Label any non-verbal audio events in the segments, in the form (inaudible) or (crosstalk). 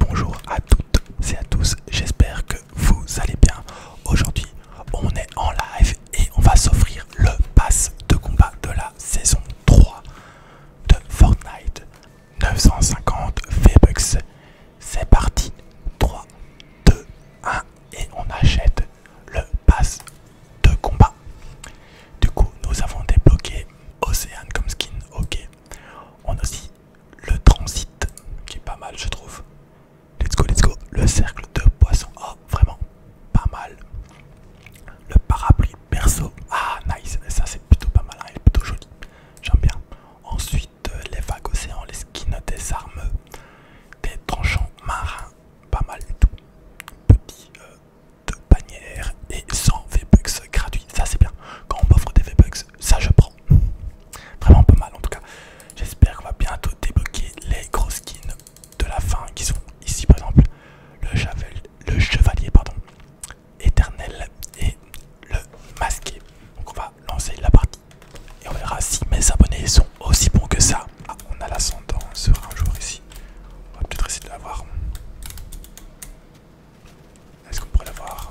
Bonjour à toutes et à tous, j'espère que vous allez bien. Aujourd'hui, on est en live et on va s'offrir le pass de combat de la saison 3 de Fortnite. 950 V-Bucks. C'est parti. 3, 2, 1 et on achète le pass de combat. Du coup, nous avons débloqué Océane comme skin, ok. On a aussi le transit qui est pas mal je trouve. Let's go, let's go. Le cercle de poissons, oh, vraiment pas mal. Le parapluie perso. Ah, nice. Ça, c'est plutôt pas mal. Hein. Il est plutôt joli. J'aime bien. Ensuite, euh, les vagues océans, les skins des armes, des tranchants marins. Pas mal du tout. Petit euh, de bannière et 100 V-Bucks gratuits. Ça, c'est bien. Quand on m'offre des V-Bucks, ça je prends. Vraiment pas mal en tout cas. J'espère qu'on va bientôt débloquer les gros skins de la fin qui sont ici par exemple le, le chevalier pardon, éternel et le masqué. Donc on va lancer la partie et on verra si mes abonnés sont aussi bons que ça. Ah, on a l'ascendant sur un jour ici. On va peut-être essayer de l'avoir. Est-ce qu'on pourrait la voir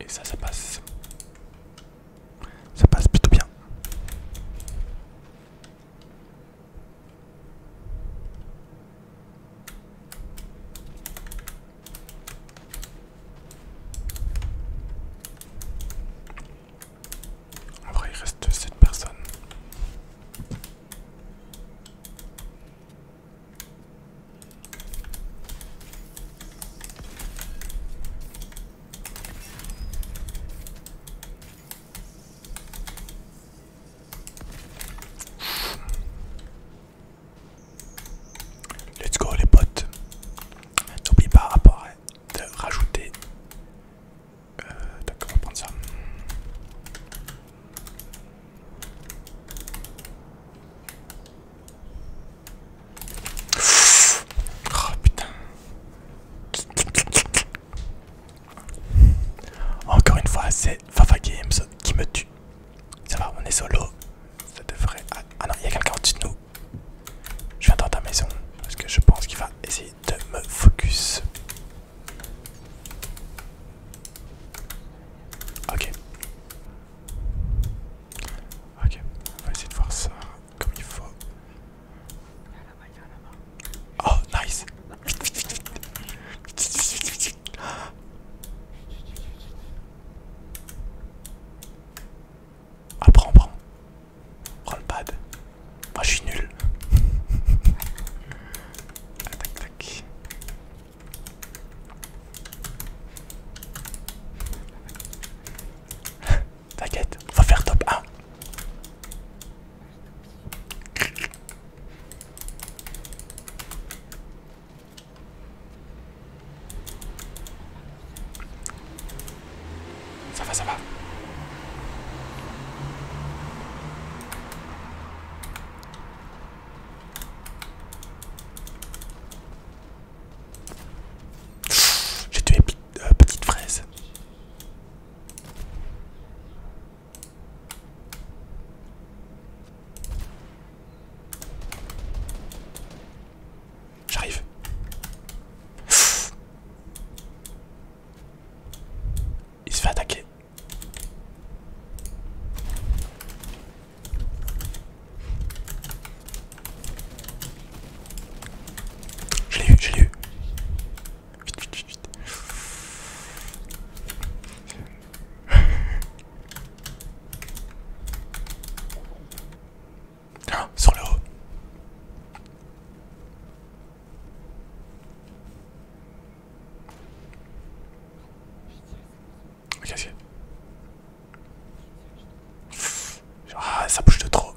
Et ça, ça passe. Ça passe plutôt bien. Après, il reste cette personne. Let's go les potes. N'oublie pas après de rajouter euh, D'accord, on va prendre ça. Oh putain. Encore une fois, c'est Fafa Games qui me tue. Ça va, on est solo. Ça devrait. Ah, ah non, il y a quelqu'un au-dessus de nous. Je viens dans ta maison parce que je pense qu'il va essayer de me focus. Ok. Ok, on va essayer de voir ça comme il faut. Oh, nice! Ah prends, prends. Prends le pad. Moi je suis nul. (laughs) tac, tac. (laughs) T'inquiète, on va faire top 1. Ça va, ça va. J'ai tué euh, petite fraise. J'arrive. Il se fait attaquer. Je l'ai eu, je l'ai eu. Vite, vite, vite, vite. Ah, sur le haut. Ok, Ah, ça bouge de trop.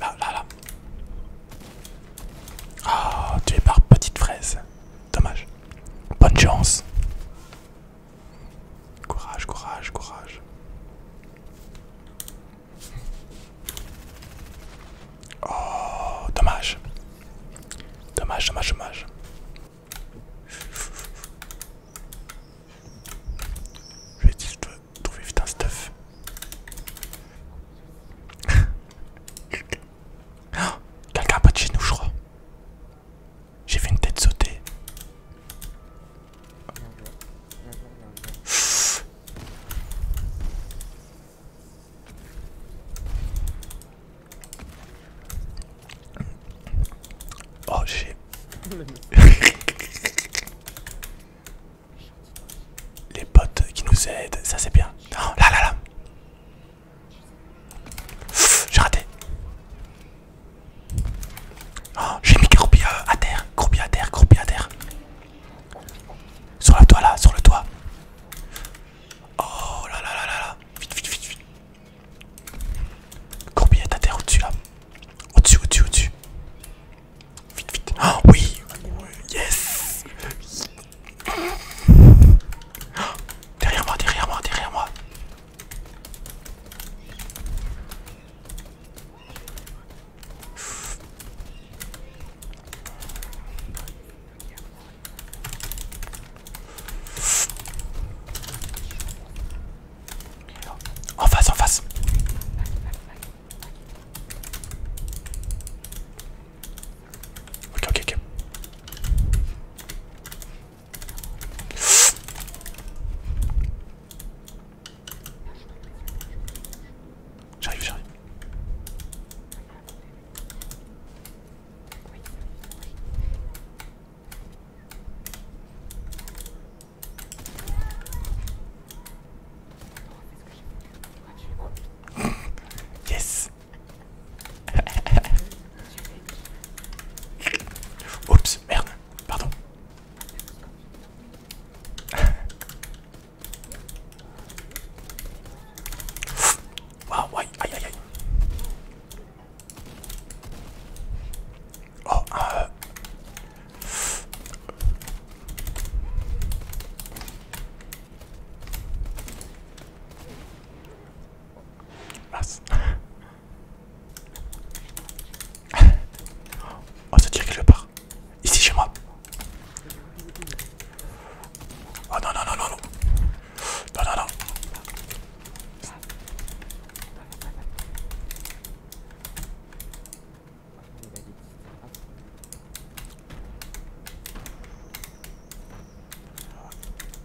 Là, là, là. Ah, tu es par petite fraise. Dommage. Bonne chance. Courage, courage, courage. Oh, dommage. Dommage, dommage, dommage. Je vais Trouvez vite un stuff. oh, (gasps) Quelqu'un pas de chez nous, je crois. J'ai vu une tête sauter. Oh j'ai... (laughs) Les potes qui nous aident, ça c'est bien. Oh, là là là J'ai raté. Oh, j'ai mis croupier euh, à terre, croupier à terre, croupier à terre. Sur le toit là, sur le toit. Oh là là là là là. Vite, vite, vite, vite. à terre au-dessus là. Au-dessus, au-dessus, au-dessus. Vite, vite. Ah oui Yes Derrière moi, derrière moi, derrière moi. En face, en face. Ok, ok, ok. J'arrive, j'arrive. Yes (laughs) Oups, merde, pardon. (laughs) Waouh, aïe, aïe, aïe. Oh, euh. Ah. tire quelque part. Ici chez moi. Oh non, non, non, non, non. Non, non, non.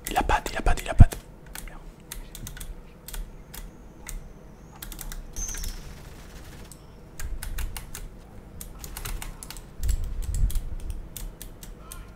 Il a pas, il a pas, il a pas.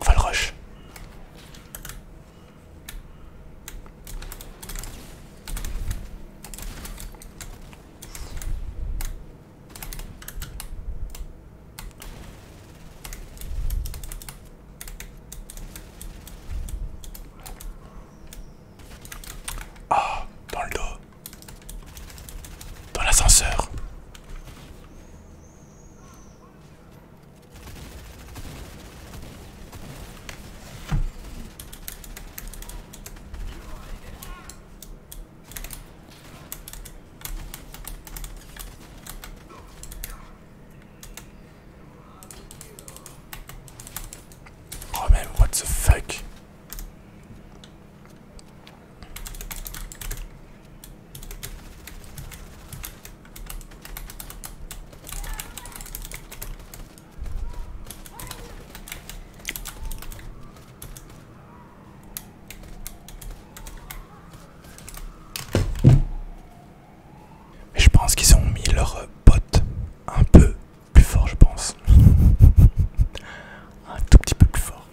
Enfin, va le rush. Ah, dans le dos. Dans l'ascenseur. Oh man what the fuck je pense qu'ils ont mis leur botte un peu plus fort, je pense. (laughs) Un tout petit peu plus fort.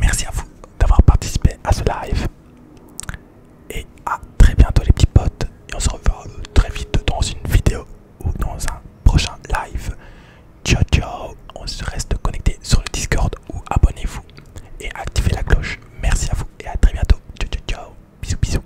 Merci à vous d'avoir participé à ce live. Et à très bientôt, les petits potes. Et on se revoit très vite dans une vidéo ou dans un prochain live. Ciao, ciao. On se reste connecté sur le Discord ou abonnez-vous et activez la cloche. Merci à vous et à très bientôt. Ciao, ciao, ciao. Bisous, bisous.